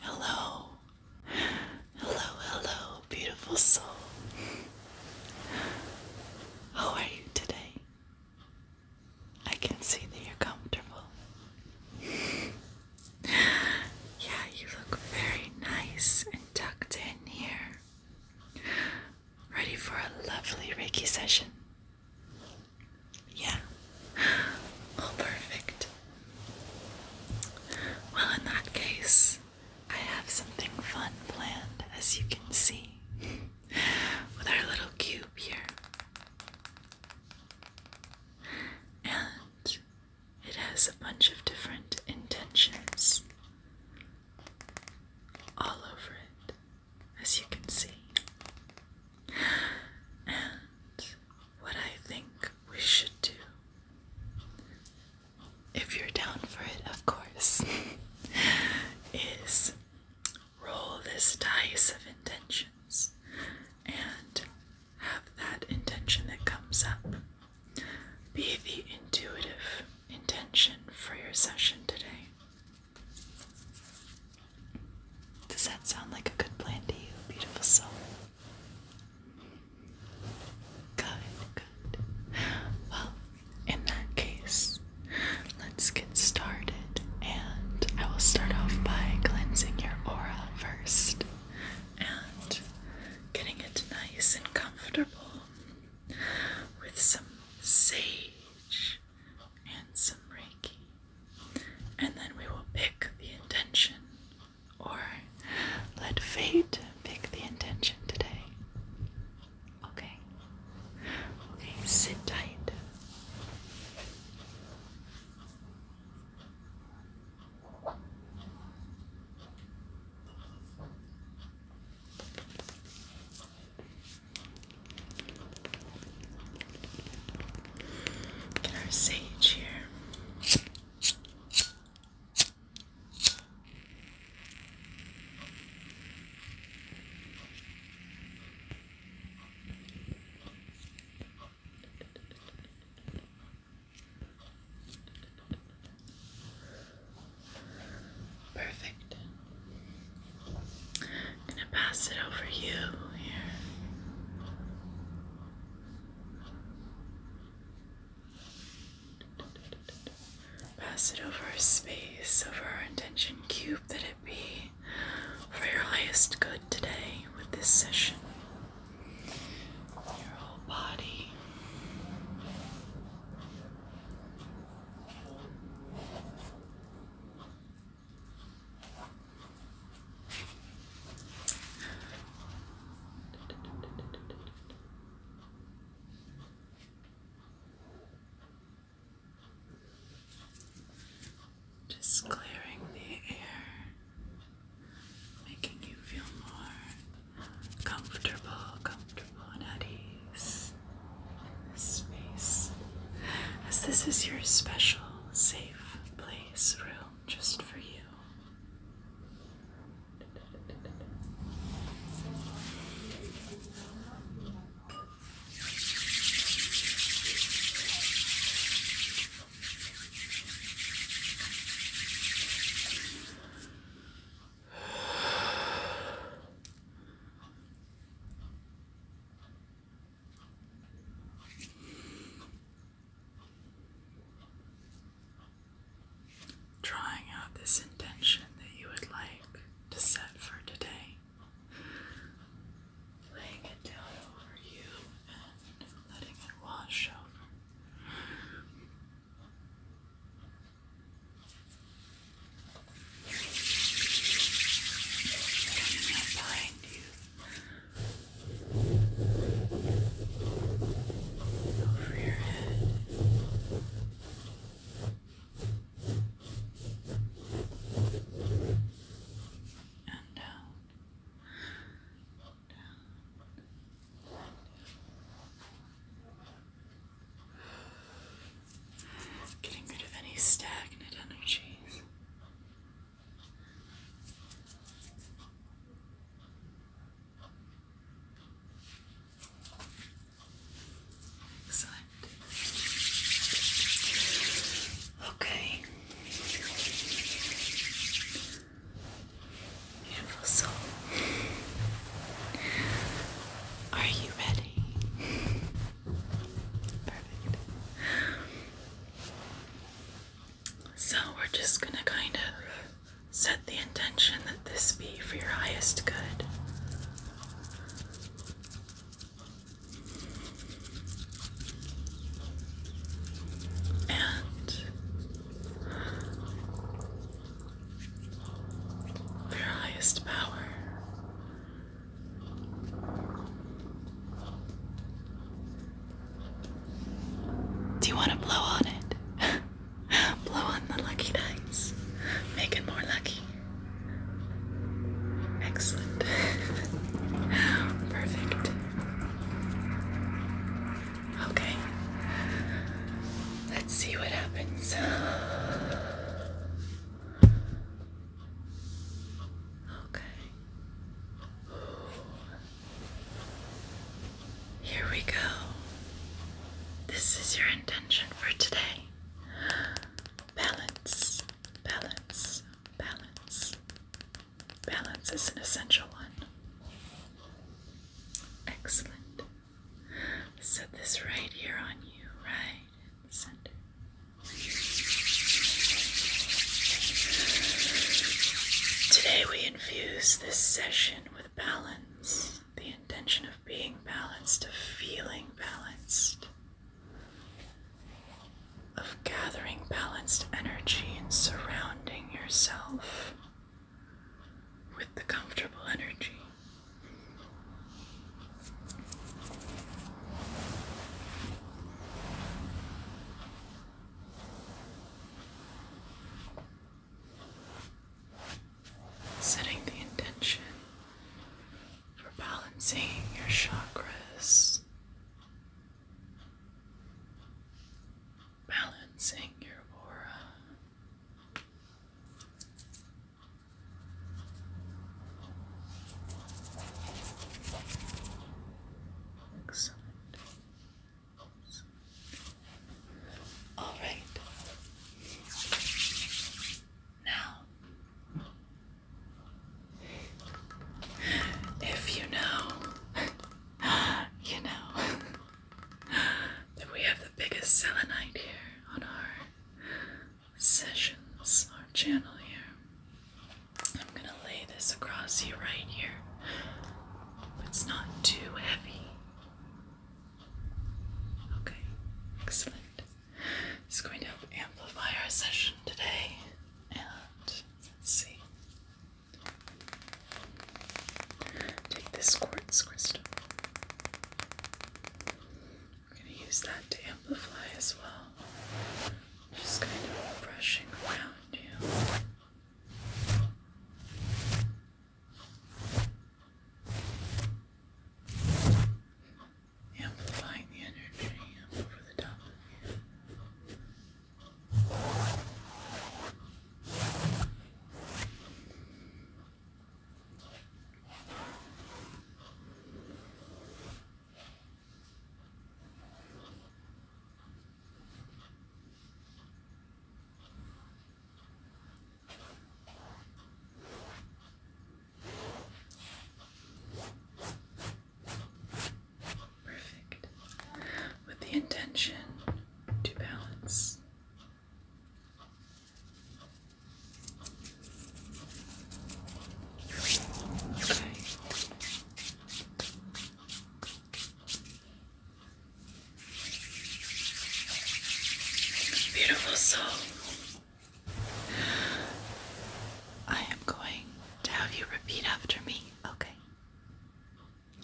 Hello, hello, hello, beautiful soul. How are you today? I can see that you're comfortable. yeah, you look very nice and tucked in here. Ready for a lovely Reiki session? Yeah. All oh, perfect. Well, in that case, I have something fun planned, as you can see, with our little cube here. And it has a bunch of different intentions all over it, as you can see. And what I think we should do, if you're down for it, of course, is roll this dice of intentions and have that intention that comes up be the intuitive intention for your session today. Does that sound like a good plan to you, beautiful soul? Good, good. Well, in that case, let's get started, and I will start off by cleansing your aura first and getting it nice and comfortable with some sage and some reiki. And then we will pick the intention or let fate pick the intention today. Okay. Okay, sit tight. Get our sage here. Perfect. gonna pass it over you here. Pass it over our space, over our intention cube that it be for your highest good today with this session. Your whole body. Just clearing the air, making you feel more comfortable, comfortable, and at ease in this space. As this is your special, safe place, room just for you. Drawing out this intention that you would like to set for today, laying it down over you and letting it wash over behind you. Over your head. And down. Down. Getting rid of any stagnant energies. Okay. Beautiful soul. Are you ready? Perfect. So, we're just going to kind of set the intention that this be for your highest good. And your highest power. Do you want to blow on it? blow on the lucky dice. Make it more lucky. Excellent. Perfect. Okay. Let's see what happens. Okay. Here we go. This is your intention for today. Balance, balance, balance. Balance is an essential one. Excellent. Set this right here on you, right in the center. Today we infuse this session with balance, the intention of being balanced, of feeling balanced, of gathering balanced energy and surrounding yourself with the comfortable energy. Setting the intention for balancing your chakras, balancing your aura, all right. Now, if you know, you know that we have the biggest selenite here on our sessions, our channel here. I'm gonna lay this across here, right here. It's not too heavy. Okay, excellent. It's going to amplify our session today. And let's see. Take this quartz crystal. I'm going to use that to amplify as well. Just kind of brushing around you. Amplifying the energy over the top of you. Perfect. With the intention to balance Beautiful soul. I am going to have you repeat after me, okay?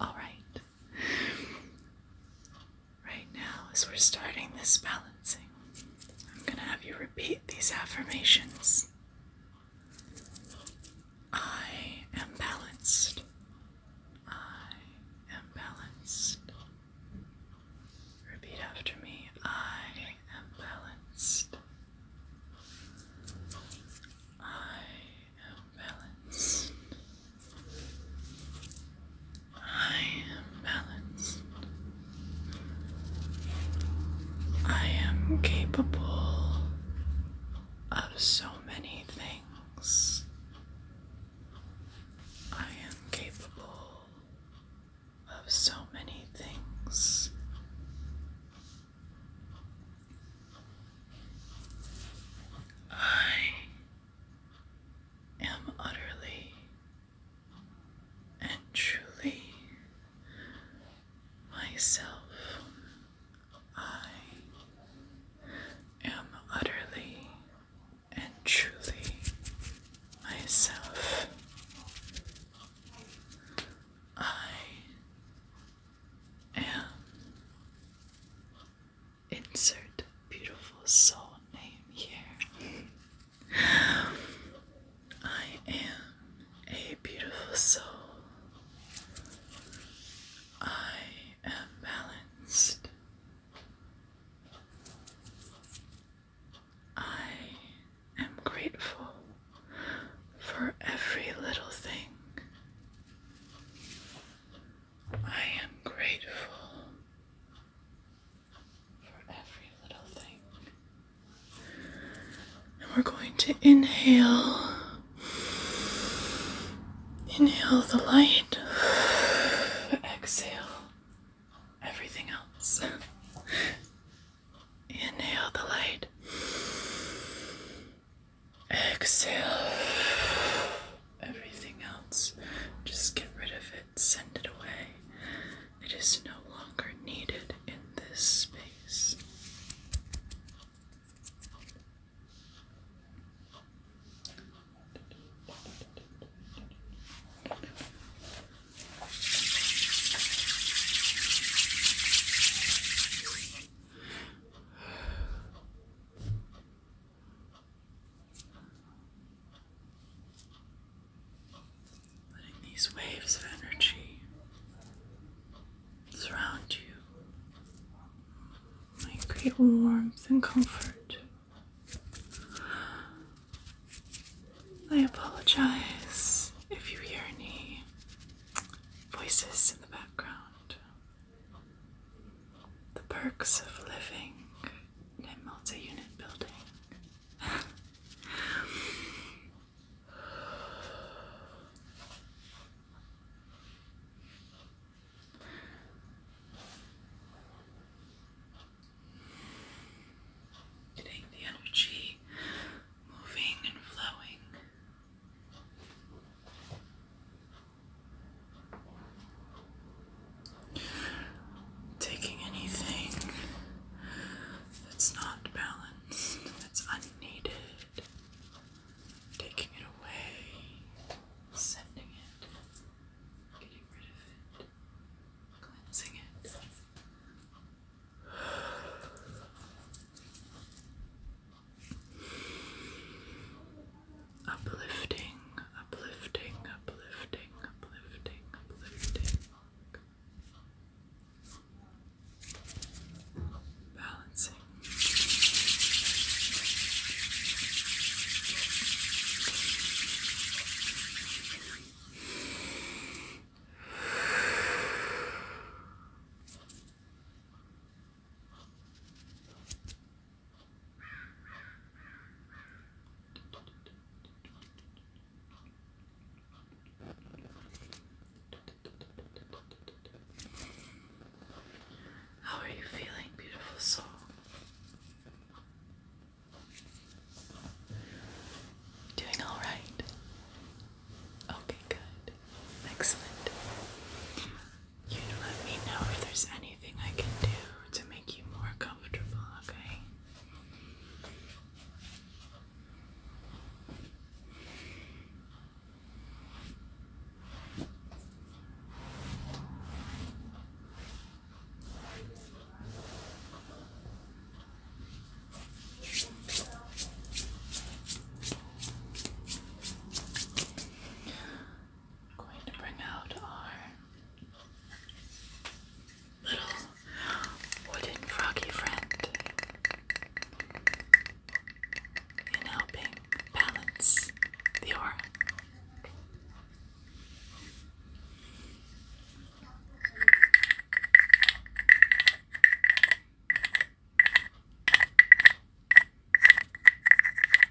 All right. Right now, as we're starting this balancing, I'm going to have you repeat these affirmations. I am balanced. I am balanced. Repeat after me. I am balanced. I am balanced. I am balanced. I am capable of so many things. I am capable of so many things. I am utterly and truly myself. I am utterly and truly myself. I am Insert beautiful soul name here. I am a beautiful soul. I am balanced. I am grateful for every little thing. I am grateful and we're going to inhale. Inhale the light. Exhale everything else. Inhale the light. Exhale everything else. Just get rid of it, send it away. It is no longer needed in this space. Letting these waves of energy surround you and create warmth and comfort. I apologize if you hear any voices in the background. The perks of living in a multi unit building. Getting the energy moving and flowing. Taking anything that's not balanced, that's unneeded, taking it away, sending it, getting rid of it, cleansing it uplifting, uplifting, uplifting, uplifting, uplifting. Balancing. How are you feeling, beautiful soul? Doing all right? Okay, good. Excellent. You let me know if there's anything I can do to make make you more comfortable, okay? going to bring out our little wooden froggy friend in helping balance the aura.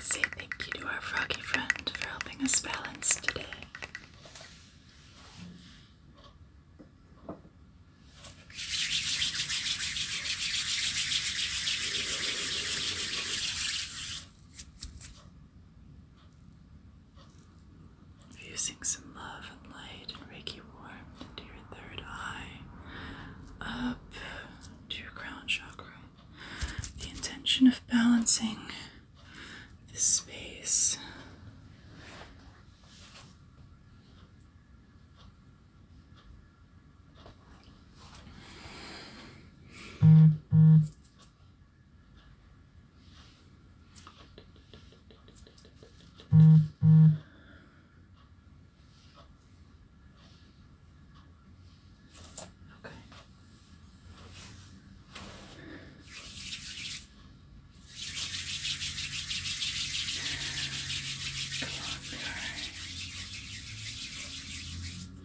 Say thank you to our froggy friend for helping us balance today. Using some love and light and Reiki warmth to your third eye, up to your crown chakra. The intention of balancing this space. Okay. Come on,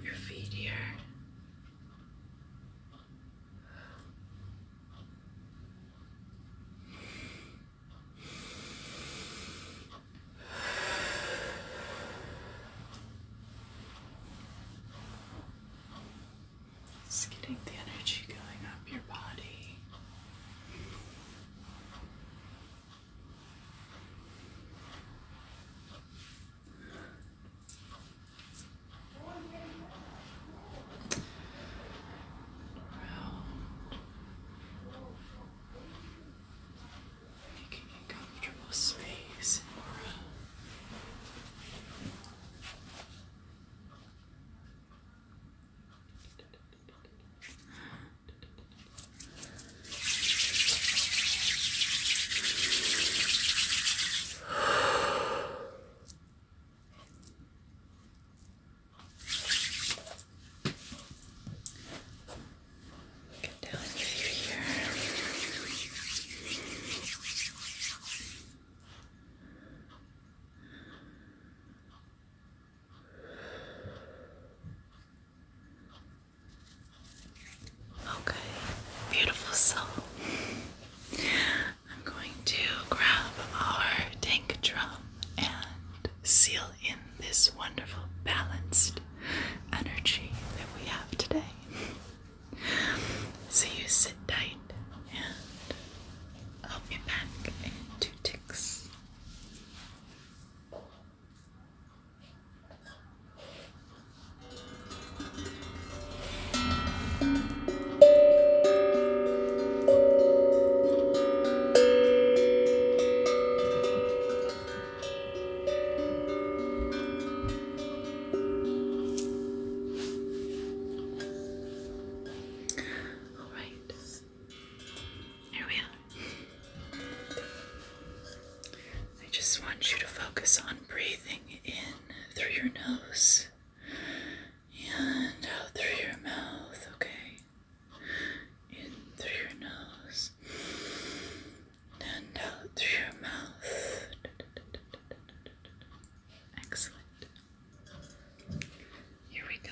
your feet here. Just getting the energy going up your body. Making a comfortable space in Okay, beautiful soul. I'm going to grab our tank drum and seal in this wonderful, balanced energy that we have today. So you sit tight and I'll back in ticks. All right, here we are. I just want you to focus on breathing in through your nose and out through your mouth, okay? in through your nose and out through your mouth. Excellent. Here we go.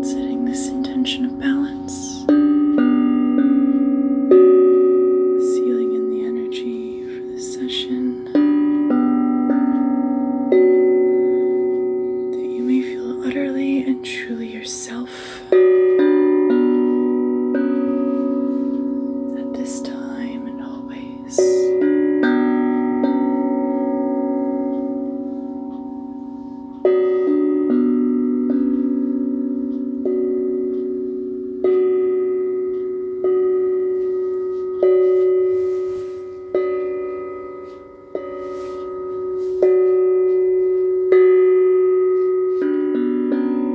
Setting this intention of balance, sealing in the energy for this session. That you may feel utterly and truly yourself at this time and always.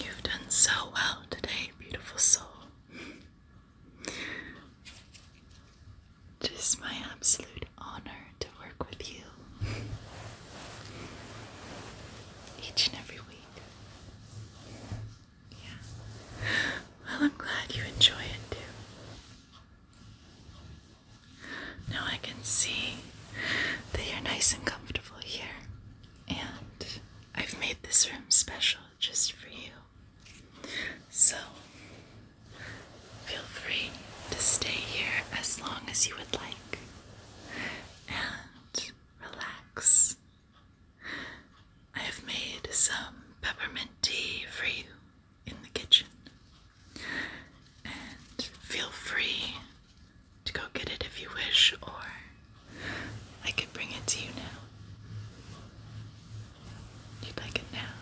You've done so well today, beautiful soul. Just my absolute honor to work with you each and every week. Yeah. Well, I'm glad you enjoy it too. Now I can see that you're nice and comfortable here, and I've made this room special just for you. So, feel free to stay here as long as you would like and relax I have made some peppermint tea for you in the kitchen, and feel free to go get it if you wish, or I could bring it to you now. You'd like it now?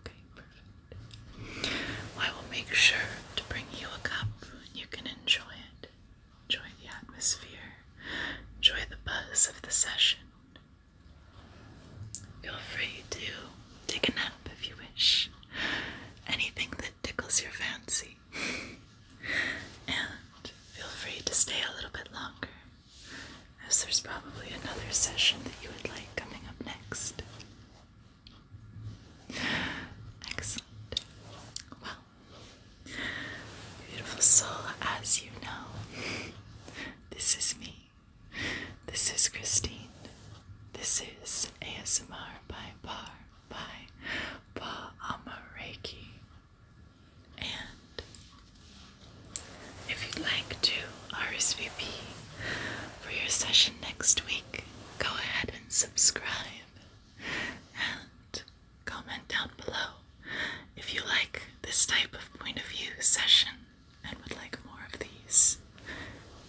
Okay, perfect. I will make sure to bring you a cup and you can enjoy it. Enjoy the atmosphere. Enjoy the buzz of the session. Feel free to take a nap if you wish. Anything that tickles your fancy. and feel free to stay a little bit longer, as there's probably another session that you would like coming up next. Excellent. Well, Beautiful soul, as you know, this is me. This is Christine. This is ASMR by Bar by Ba Amareki. And if you'd like to RSVP for your session next week, go ahead and subscribe. And Comment down below if you like this type of point of view session and would like more of these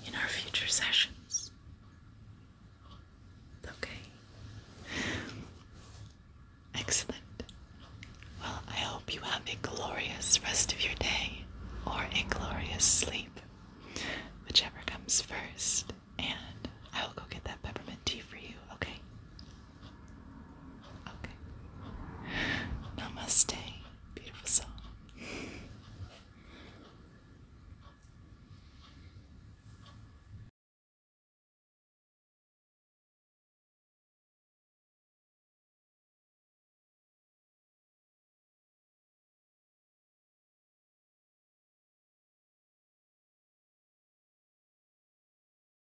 in our future sessions. Okay. Excellent. Well, I hope you have a glorious rest of your day or a glorious sleep, whichever comes first. And I will go get that peppermint tea for you, okay? Okay. Namaste. Beautiful song.